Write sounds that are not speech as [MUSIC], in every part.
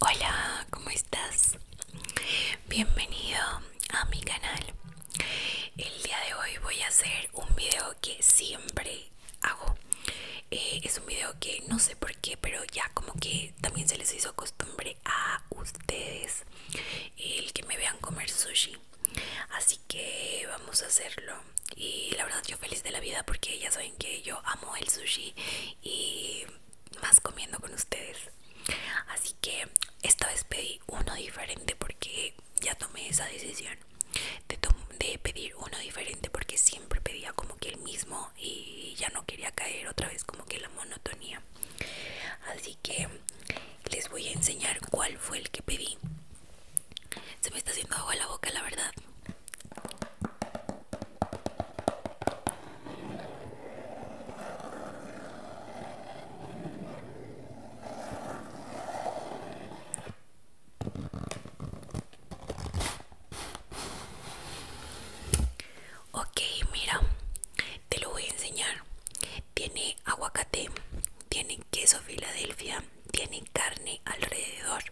Hola, ¿cómo estás? Bienvenido a mi canal. El día de hoy voy a hacer un video que siempre hago. Eh, es un video que no sé por qué, pero ya como que también se les hizo costumbre a ustedes el que me vean comer sushi. Así que vamos a hacerlo. Y la verdad yo feliz de la vida porque ya saben que yo amo el sushi y más comiendo con ustedes. Así que esta vez pedí uno diferente porque ya tomé esa decisión de, pedir uno diferente porque siempre pedía como que el mismo y ya no quería caer otra vez como que la monotonía. Así que les voy a enseñar cuál fue el que pedí. Se me está haciendo agua la boca, la verdad. Okay, mira, te lo voy a enseñar. Tiene aguacate, tiene queso Filadelfia, tiene carne alrededor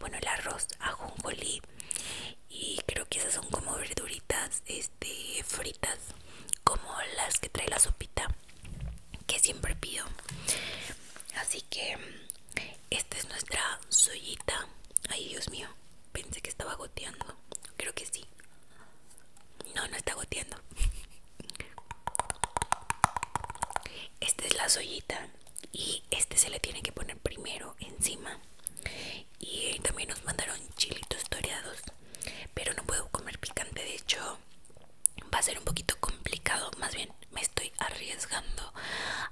bueno el arroz ajonjolí y creo que esas son como verduritas este fritas como las que trae la sopita que siempre pido así que esta es nuestra soyita ay dios mío pensé que estaba goteando creo que sí no no está goteando [LAUGHS] esta es la soyita y este se le tiene que poner primero encima y también nos mandaron chilitos toreados pero no puedo comer picante de hecho va a ser un poquito complicado más bien me estoy arriesgando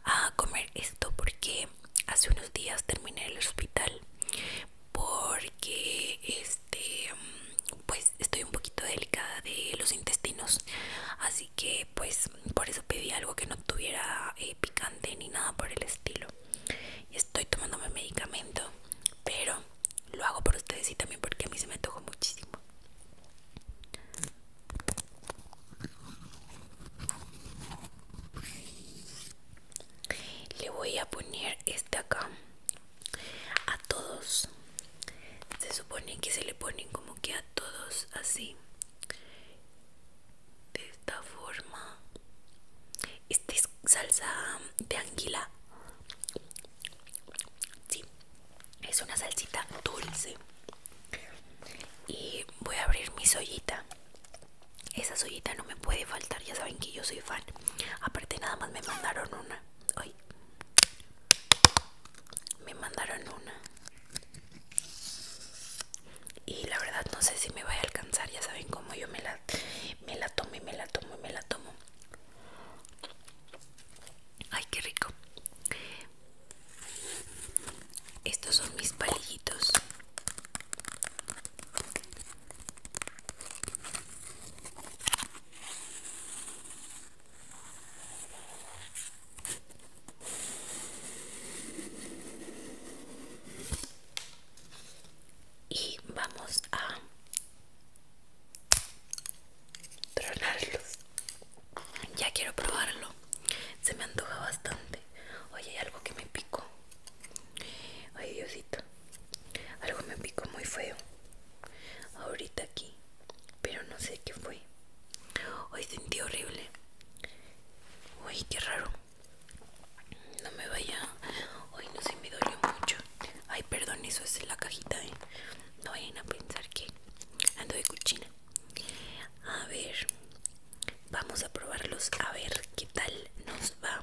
a comer esto porque hace unos días terminé el hospital porque este pues estoy un poquito delicada de los intestinos así que pues por eso pedí algo que no tuviera eh, picante ni nada por el estilo Estoy estoy mi medicamento pero lo hago por ustedes y también porque a mí se me tocó muchísimo le voy a poner este acá a todos se supone que se le ponen como que a todos así de esta forma esta es salsa de anguila sí es una salsita dulce y voy a abrir mi soyita esa soyita no me puede faltar ya saben que yo soy fan aparte nada más me mandaron una hoy me mandaron una y la verdad no sé si me vaya a alcanzar ya saben cómo yo me la me la tomo y me la tomo y me la tomo ay qué rico estos son mis palillitos y vamos a tronarlos ya quiero probarlo se me antoja bastante oye hay algo que me picó ay diosito algo me picó muy feo. Ahorita aquí. Pero no sé qué fue. Hoy sentí horrible. Uy, qué raro. No me vaya. Hoy no sé, me dolió mucho. Ay, perdón, eso es la cajita, ¿eh? No vayan a pensar que ando de cuchina. A ver. Vamos a probarlos. A ver qué tal nos va.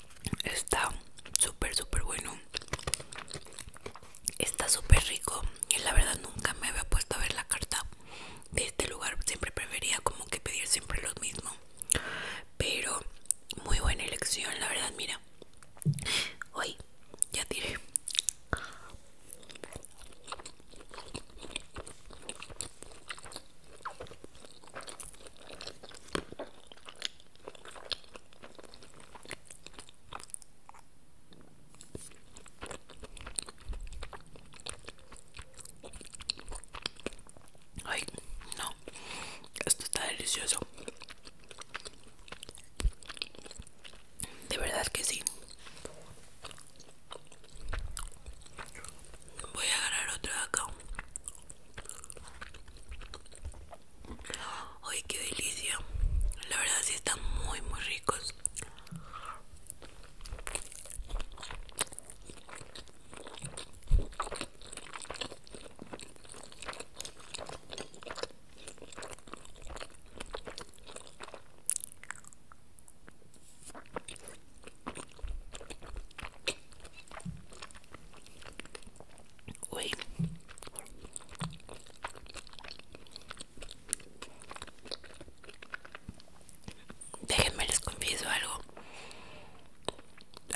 Está súper, súper bueno. Está súper rico. Y la verdad nunca me había puesto a ver la carta de este lugar. Siempre prefería como que pedir siempre lo mismo. Pero muy buena elección, la verdad, mira. Hoy ya tiré. Ay, no, esto está delicioso. De verdad que sí. Voy a agarrar otra acá. Ay, qué delicia. La verdad sí están muy, muy ricos. Déjenme les confieso algo.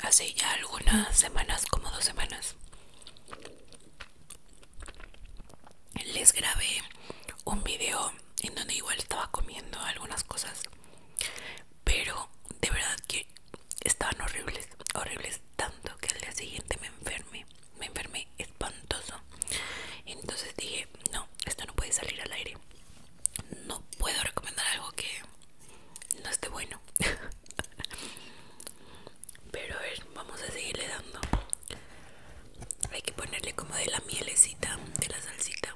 Hace ya algunas semanas, como dos semanas, les grabé un video en donde igual estaba comiendo algunas cosas pero de verdad que estaban horribles, horribles tanto que al día siguiente me enfermé, me enfermé espantoso. Entonces dije, no, esto no puede salir al aire. No puedo recomendar algo que no esté bueno. [LAUGHS] Pero a ver, vamos a seguirle dando. Hay que ponerle como de la mielecita, de la salsita.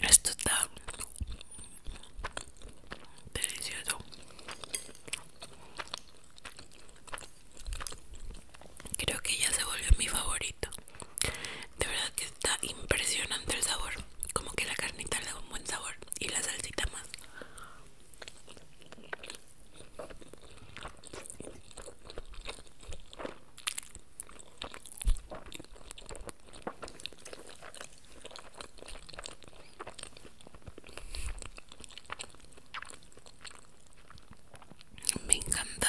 Esto está delicioso. Creo que ya se volvió mi favorito. De verdad que está impresionante el sabor. Como que la carnita le da un buen sabor y la salsita más. Me encantó.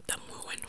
Está muy bueno.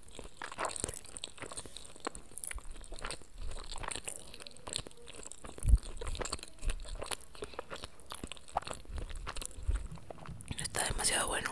Está demasiado bueno.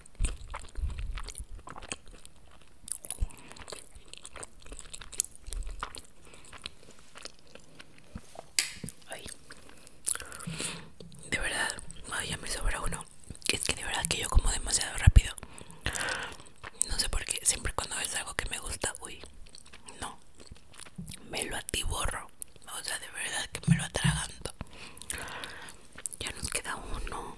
de verdad, ay, ya me sobra uno. Es que de verdad que yo como demasiado rápido. No sé por qué, siempre cuando ves algo que me gusta, uy, no. Me lo atiborro. O sea, de verdad que me lo atraganto. Ya nos queda uno.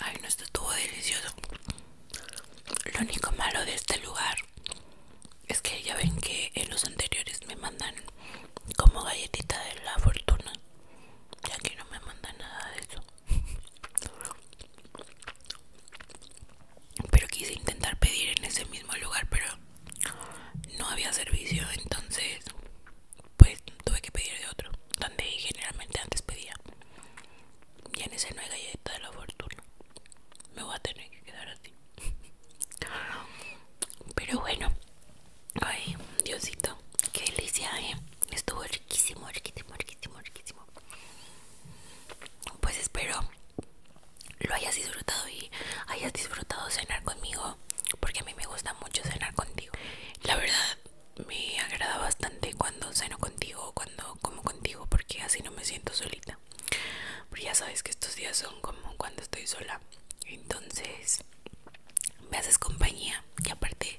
Ay, no, esto estuvo delicioso. Lo único malo de este lugar es que ya ven que en los anteriores me mandan como galletita de la fortuna. ya aquí no me mandan nada de eso. Pero quise intentar pedir en ese mismo lugar, pero no había servicio, entonces pues tuve que pedir de otro, donde generalmente antes pedía. Y en ese no hay galleta de la fortuna. Me voy a tener que quedar así. [LAUGHS] Pero bueno, ay, Diosito, qué delicia, eh. Estuvo riquísimo, riquísimo, riquísimo, riquísimo. Pues espero lo hayas disfrutado y hayas disfrutado cenar conmigo, porque a mí me gusta mucho cenar contigo. La verdad, me agrada bastante cuando ceno contigo, cuando como contigo, porque así no me siento solita. Pero ya sabes que estos días son como cuando estoy sola. Entonces, me haces compañía y aparte